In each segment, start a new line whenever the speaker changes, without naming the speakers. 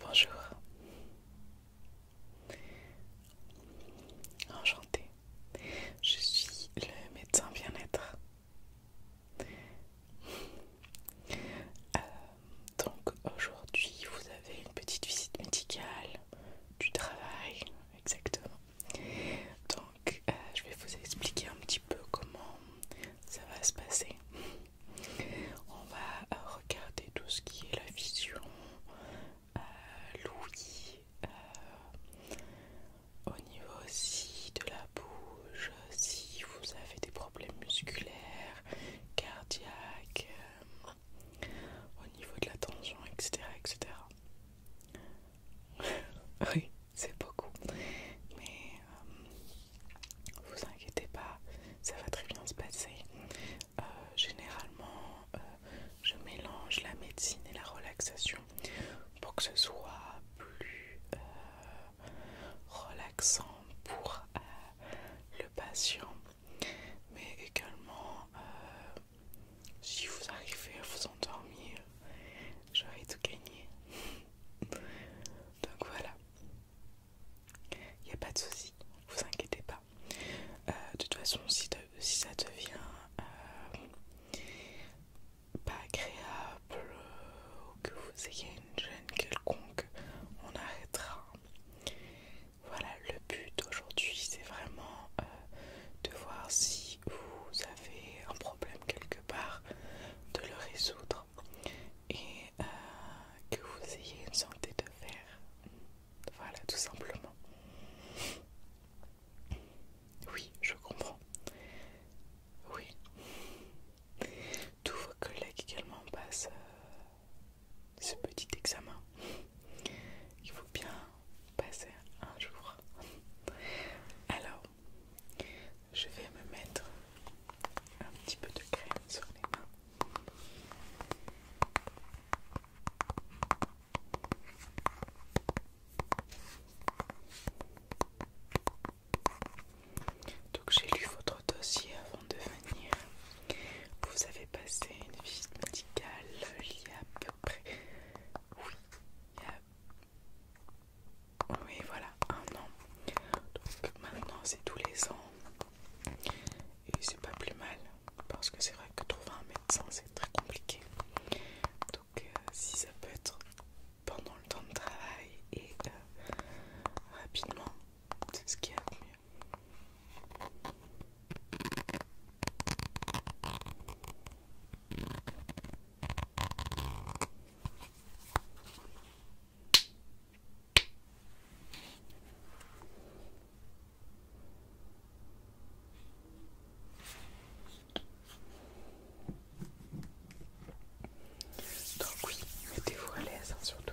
Bonjour. Enchantée. Je suis le médecin bien-être. Euh, donc aujourd'hui, vous avez une petite visite médicale du travail, exactement. Euh, je vais vous expliquer un petit peu comment ça va se passer. On va euh, regarder tout ce qui est la vision, euh, l'ouïe, au niveau aussi de la bouche, si vous avez des problèmes musculaires, cardiaques, au niveau de la tension, etc. etc. oui, c'est beaucoup. Mais euh, vous inquiétez pas, ça va très bien se passer. Euh, généralement, euh, je mélange la médecine et la relaxation pour que ce soit plus relaxant pour le patient, mais également si vous arrivez à vous endormir, j'aurai tout gagné. Donc voilà. Il n'y a pas de souci, vous inquiétez pas. Euh, de toute façon, si, ça devient euh, pas agréable ou que vous ayez une gêne quelconque, on arrêtera. Voilà, le but aujourd'hui, c'est vraiment euh, de voir si vous avez un problème quelque part de le résoudre et euh, que vous ayez une santé de faire Voilà, tout simplement. Oui, je comprends. Oui. Tous vos collègues également passent euh, ce petit examen. Il faut bien passer un jour. Alors, je vais me mettre un petit peu de crème sur les mains. Donc j'ai lu votre dossier avant de venir. Vous avez passé une visite médicale il y a peu près, oui, il y a oui voilà un an donc maintenant c'est tous les ans et c'est pas plus mal parce que c'est vrai que trouver un médecin c'est très compliqué donc euh, si ça peut être pendant le temps de travail et euh, rapidement c'est ce qui est mieux donc oui, mettez-vous à l'aise hein, surtout.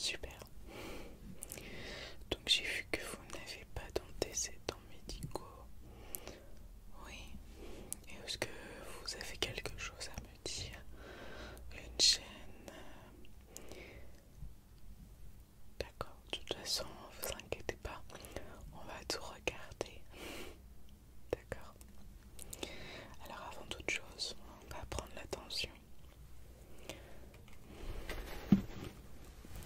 Super. Donc j'ai vu que vous n'avez pas d'antécédents médicaux oui. Est-ce que vous avez quelque chose à me dire Une chaîne euh, D'accord, de toute façon, vous inquiétez pas, on va tout regarder. D'accord. Alors avant toute chose, on va prendre l'attention.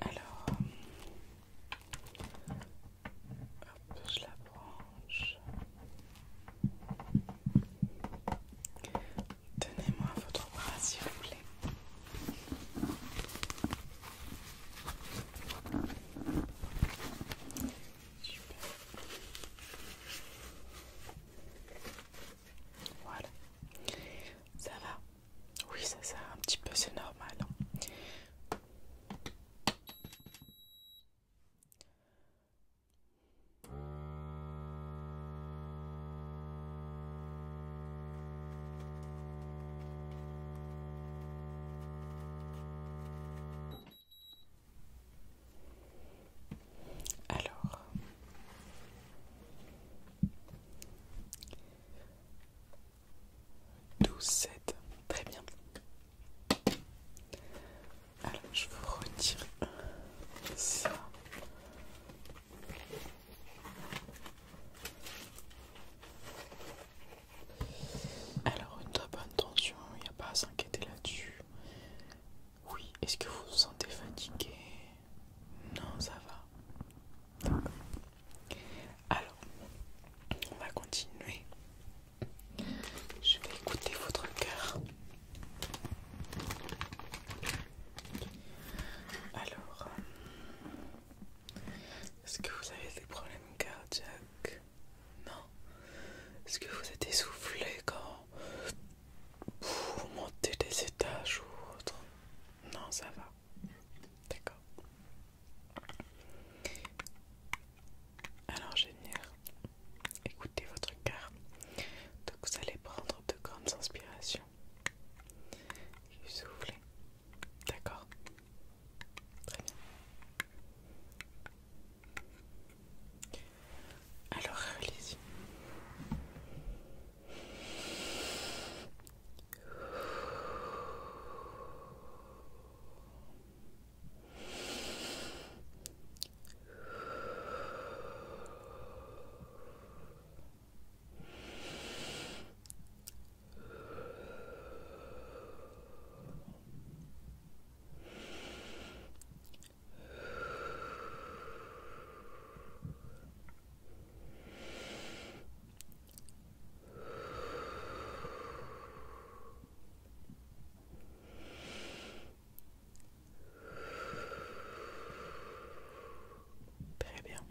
Alors, je la branche. tenez moi votre bras, s'il vous plaît. Voilà. Ça va Oui, ça ça, un petit peu, c'est normal. Hein. Alors, 12, sept, très bien. Alors, je vous retire ça. Alors, une bonne tension, il n'y a pas à s'inquiéter là-dessus. Oui, est-ce que vous vous sentez fatigué Non, ça va. Alors, on va continuer. Je vais écouter votre cœur. Alors, euh, est-ce que vous avez des problèmes cardiaques non. Est-ce que vous êtes essoufflé quand vous montez des étages ou autre Non, ça va. D'accord. Alors, génial. Écoutez votre carte. Donc, vous allez prendre de grandes inspirations. Et soufflez. D'accord Très bien. Alors allez-y. allez y Très bien.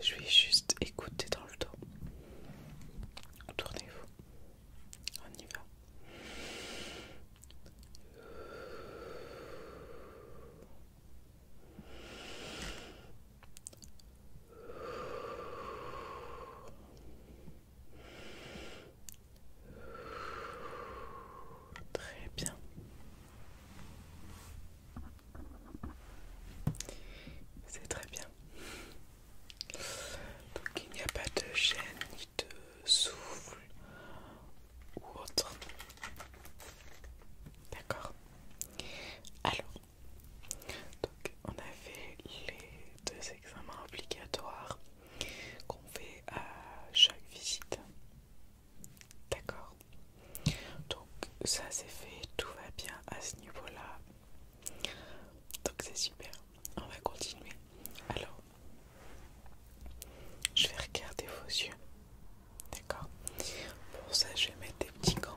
Je vais juste écouter dans le dos. Tournez-vous. On y va. Très bien. C'est très bien. Donc il n'y a pas de gêne ni de souffle ou autre. D'accord Alors, on a fait les deux examens obligatoires qu'on fait à chaque visite. D'accord Donc ça c'est fait, tout va bien à ce niveau-là. Donc c'est super. On va continuer. Alors, je vais regarder vos yeux. D'accord Pour ça, je vais mettre des petits gants.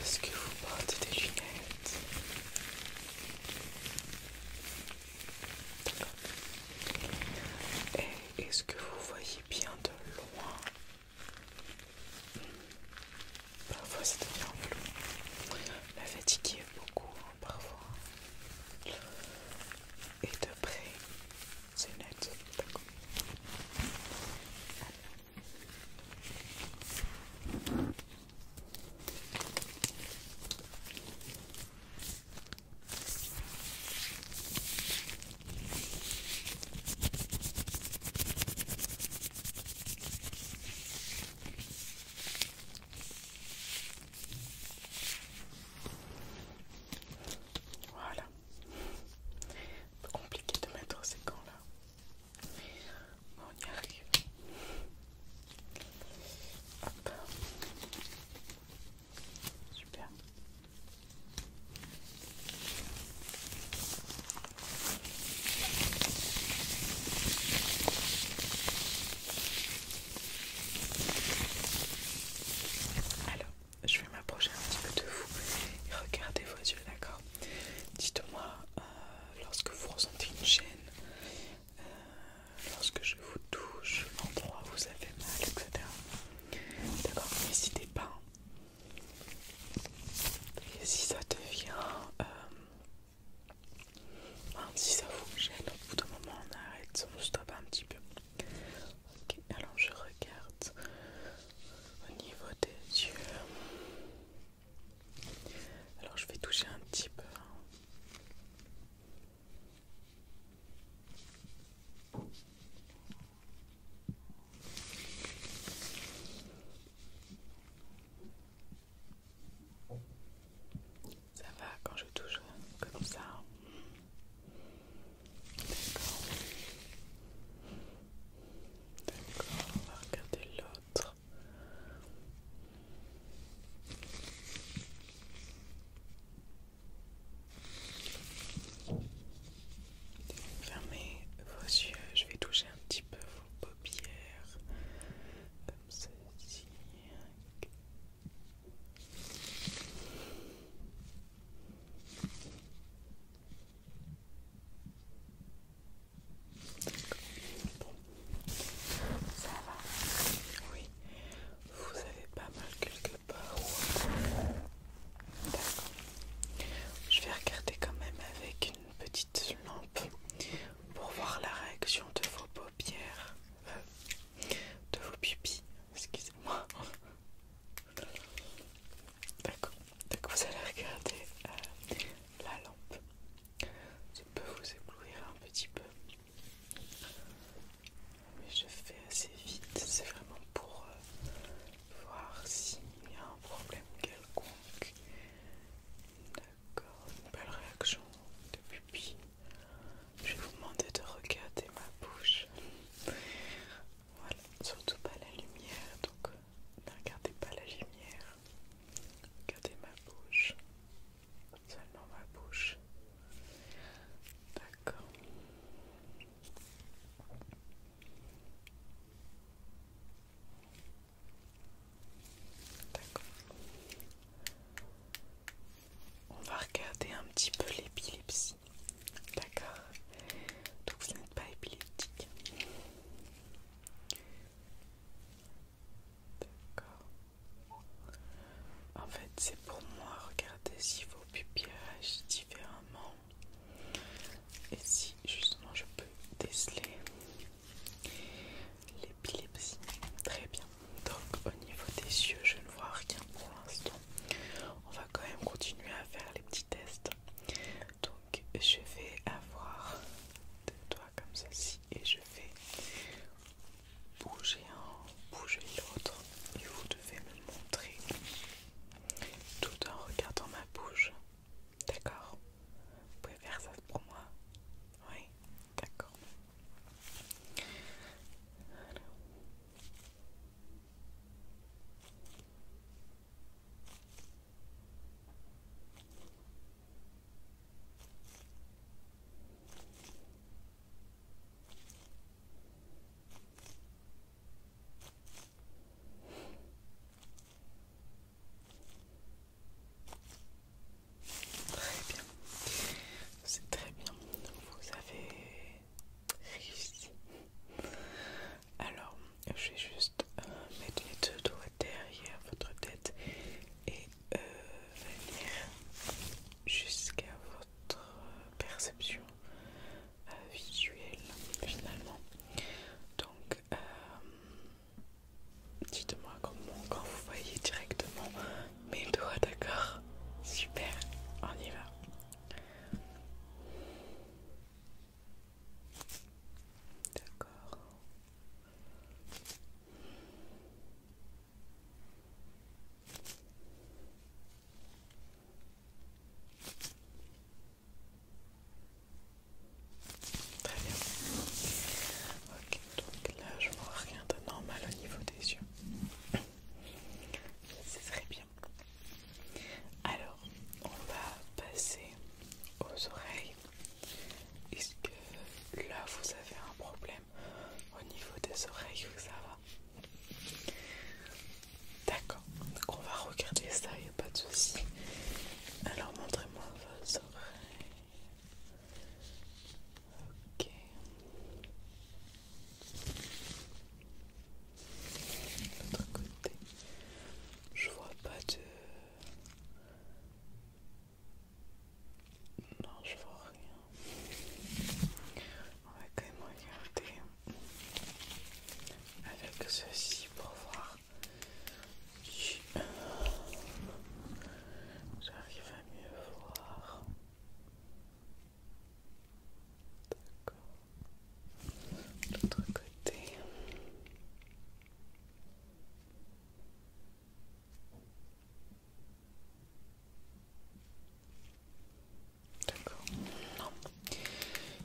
Est-ce que vous portez des lunettes est-ce que vous voyez bien de loin Parfois c'est bien en flou. La fatigue est beaucoup hein, parfois. Et de près, c'est net. D'accord. Voilà. peu compliqué de mettre ces gants là. mais on y arrive. Super. Alors, je vais m'approcher un petit peu de vous et regardez vos yeux, d'accord Dites-moi, euh, lorsque vous ressentez une gêne, euh, lorsque je vous touche, l'endroit où vous avez mal, etc. D'accord, n'hésitez pas. Et si ça devient. Euh, si ça vous gêne, au bout d'un moment on arrête, on stoppe un petit peu. Ok, alors je regarde au niveau des yeux. Alors je vais toucher un petit peu. Hein. Ça va quand je touche hein, comme ça. D'accord. D'accord, on va regarder l'autre. Fermez vos yeux, je vais toucher un petit peu vos paupières, comme ceci. Bon. Ça va Oui. Vous avez pas mal quelque part. D'accord. Je vais regarder quand même avec une petite lampe pour voir la réaction de vos paupières. Euh, de vos pupilles. Excusez-moi. D'accord. Donc vous allez regarder euh, la lampe. Ça peut vous éblouir un petit peu mais je fais assez vite, c'est vraiment pour euh, voir s'il y a un problème quelconque. D'accord, une belle réaction de pupille. Je vais vous demander de regarder ma bouche. Voilà, surtout pas la lumière, donc euh, ne regardez pas la lumière. Regardez ma bouche. Seulement ma bouche. D'accord. D'accord. On va regarder un petit peu l'épilepsie. D'accord. Donc vous n'êtes pas épileptique. D'accord. En fait, c'est pour moi regarder si vos pupilles Différents et si justement je peux déceler l'épilepsie. Très bien. Donc au niveau des yeux, je ne vois rien pour l'instant. On va quand même continuer à faire les petits tests. Donc je vais avoir des doigts comme ceci et je vais bouger un, bouger l'autre et vous devez me montrer tout en regardant ma bouche. D'accord Vous pouvez faire ça pour moi Oui, d'accord. Très bien, c'est très bien, vous avez réussi. Alors, je vais juste euh, mettre les deux doigts derrière votre tête et euh, venir jusqu'à votre perception euh, visuel finalement. Donc euh, dites-moi comment quand vous voyez directement mes doigts, d'accord Super, on y va. D'accord. Très bien. Ok, donc là je vois rien de normal au niveau des yeux. C'est très bien. Alors, on va passer aux oreilles. Est-ce que là vous avez un problème au niveau des oreilles ou ça va D'accord, donc on va regarder ça, il pas de soucis Alors montrez-moi vos oreilles. Ok. De l'autre côté, je vois pas de... Non, je vois rien. On va quand même regarder avec ceci pour voir si euh, j'arrive à mieux voir. D'accord. L'autre côté. D'accord. Non.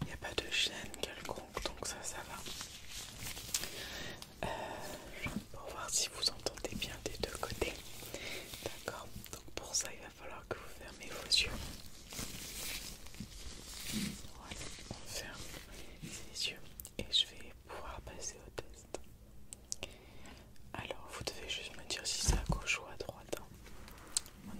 Il n'y a pas de chaîne quelconque, donc ça, ça va. Euh, pour voir si vous entendez bien des deux côtés. D'accord. Donc pour ça, il va falloir que vous fermez vos yeux. Voilà, on ferme les yeux et je vais pouvoir passer au test. Alors, vous devez juste me dire si c'est à gauche ou à droite. Hein.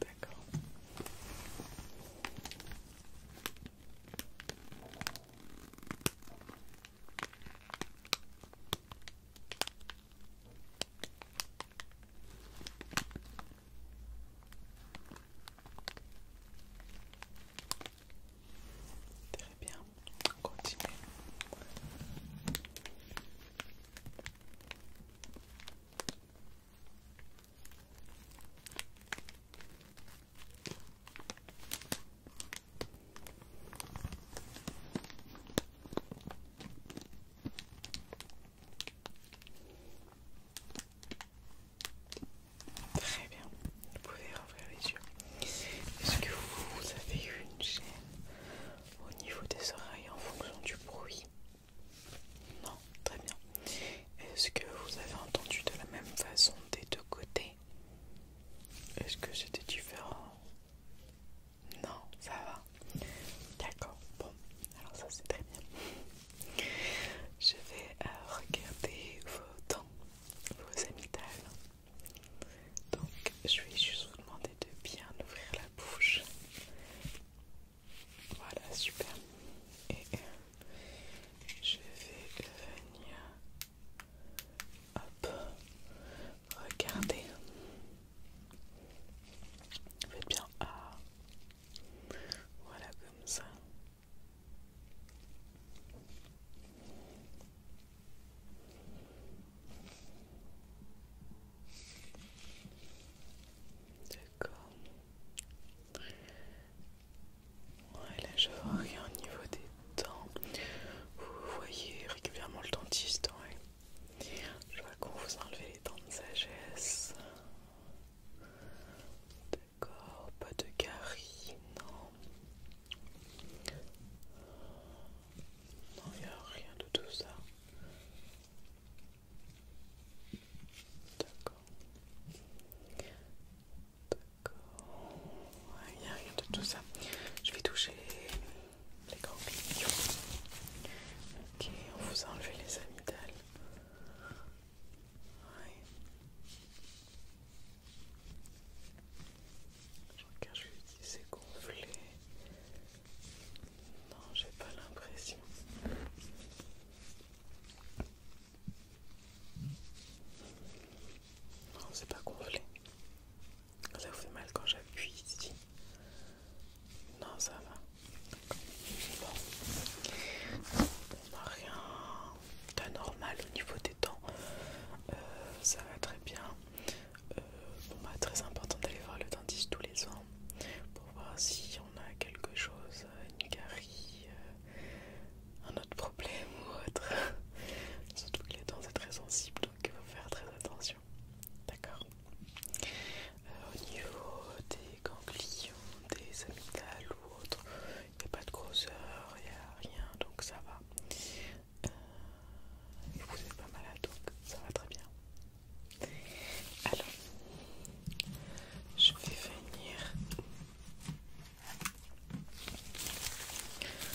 D'accord. Très bien, continuez. continue. Très bien, vous pouvez ouvrir les yeux. Est-ce que vous avez eu une chaîne au niveau des oreilles en fonction du bruit Non, très bien. Est-ce que vous avez entendu de la même façon des deux côtés Est-ce que c'était différent non, ça va. D'accord, bon, alors ça c'est très bien. Je vais euh, regarder vos dents, vos amygdales. Donc, je vais juste vous demander de bien ouvrir la bouche. Voilà, super. Et euh, je vais venir hop, Regardez. Faites bien. Ah. Voilà comme ça. D'accord. Ouais, là je vois rien au niveau des dents. Vous voyez régulièrement le dentiste, ouais. Je vois qu'on vous enlevait les dents de sagesse. D'accord, pas de caries, non. Non, il n'y a rien de tout ça. D'accord. D'accord. Il n'y a rien de tout ça. Je vais toucher les grands Ok, on vous a enlevé les amygdales. Ouais. Je regarde, je lui dis c'est gonflé. Non, j'ai pas l'impression. Non, c'est pas gonflé. Ça vous fait mal quand j'appuie ici Non, ça va. Bon. On n'a bah, rien d'anormal au niveau des dents. Euh, ça va très bien. Euh, bon, bah, très important d'aller voir le dentiste tous les ans pour voir si on a quelque chose, une carie, euh, un autre problème ou autre. Surtout que les dents c'est très sensible donc il faut faire très attention. D'accord euh, Au niveau des ganglions, des amygdales ou autres, il n'y a pas de grosseur, il n'y a rien, donc ça va. Euh, vous n'êtes pas malade, donc ça va très bien. Alors, je vais venir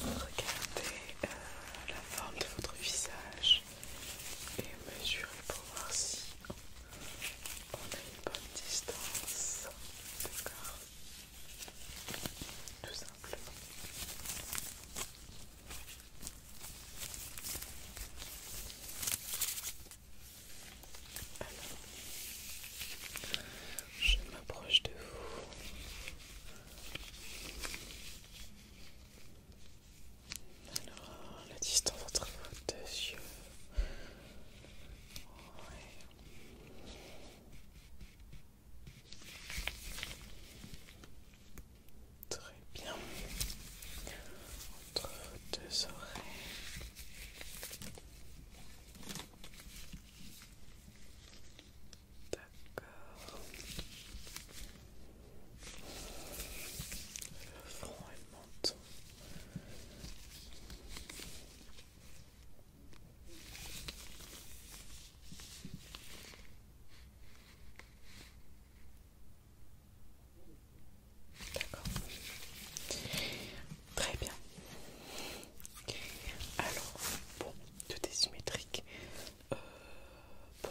regarder euh, la forme de votre visage et mesurer pour voir si on a une bonne distance. D'accord Tout simplement. Alors, je m'approche de vous. Alors, la distance entre vos deux yeux. Très bien. Entre vos deux oreilles. D'accord. Le front et le D'accord. Très bien. Alors, bon, tout est symétrique. Euh, bon,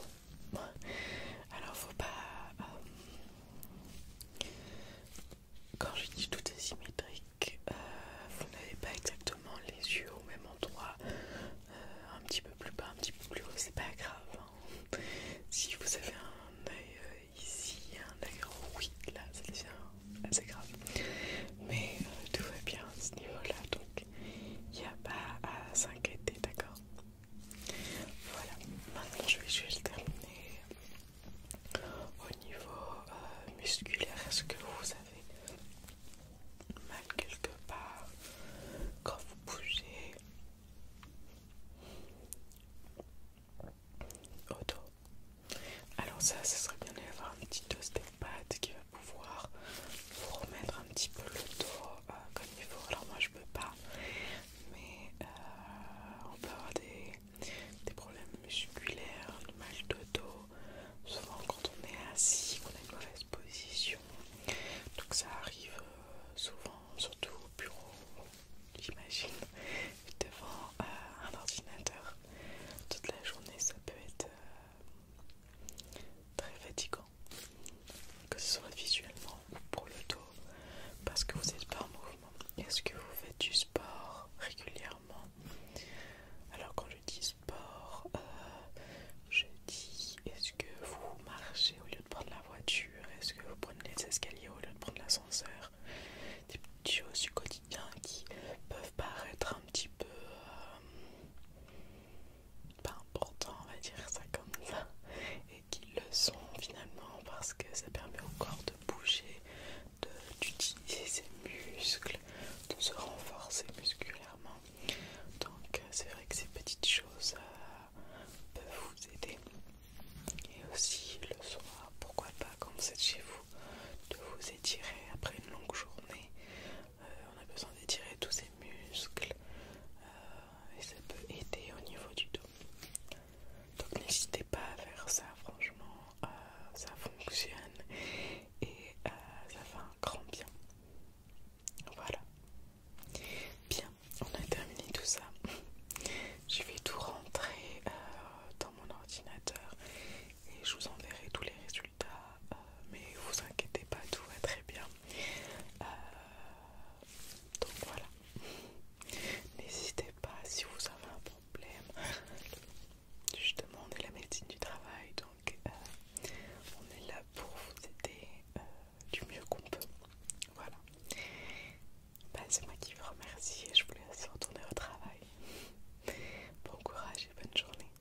alors faut pas... Euh, quand je dis tout est euh, vous n'avez pas exactement les yeux au même endroit, euh, un petit peu plus bas, un petit peu plus haut, c'est pas grave. Hein. Si vous avez un œil ici, un œil oui, là c'est devient assez grave. Mais tout va bien à ce niveau-là, donc il n'y a pas à s'inquiéter, d'accord Voilà, maintenant je vais, juste terminer au niveau euh, musculaire. Est-ce que vous avez mal quelque part quand vous bougez auto alors ça, ce serait bien d'avoir une petite dose des pattes qui pouvoir vous remettre un petit peu le dos euh, comme il faut. Alors moi je peux pas, mais euh, on peut avoir des, problèmes musculaires, du mal de dos, souvent quand on est assis, qu'on a une mauvaise position. Donc ça arrive euh, souvent, surtout au bureau, j'imagine, devant un ordinateur. Toute la journée ça peut être très fatigant, que ce soit visuellement ou pour le dos, parce que vous n'êtes pas en mouvement. Est-ce que vous faites du sport régulièrement Alors quand je dis sport, euh, je dis est-ce que vous marchez au lieu de prendre la voiture Est-ce que vous prenez les escaliers au lieu de prendre l'ascenseur Des petites choses du quotidien qui peuvent paraître un petit peu... Euh, pas important on va dire ça comme ça, et qu'ils le sont finalement parce que ça permet au corps de bouger, d'utiliser ses muscles, de se renforcer musculairement. Donc euh, c'est vrai que ces petites choses euh, peuvent vous aider. Et aussi le soir, pourquoi pas quand vous êtes chez vous, de vous étirer après une longue journée, euh, on a besoin d'étirer tous ces muscles euh, et ça peut aider au niveau du dos. Donc n'hésitez pas à faire ça, franchement, euh, ça fonctionne et ça fait un grand bien. Voilà. Bien, on a terminé tout ça. Je vais tout rentrer dans mon ordinateur et je vous enverrai tous les résultats. Euh, mais vous inquiétez pas, tout va très bien. Euh, donc voilà, n'hésitez pas si vous avez un problème. Justement, on est la médecine du travail, donc euh, on est là pour vous aider du mieux qu'on peut. Voilà. Ben, c'est moi qui vous remercie et je vous laisse retourner au travail. Bon courage et bonne journée.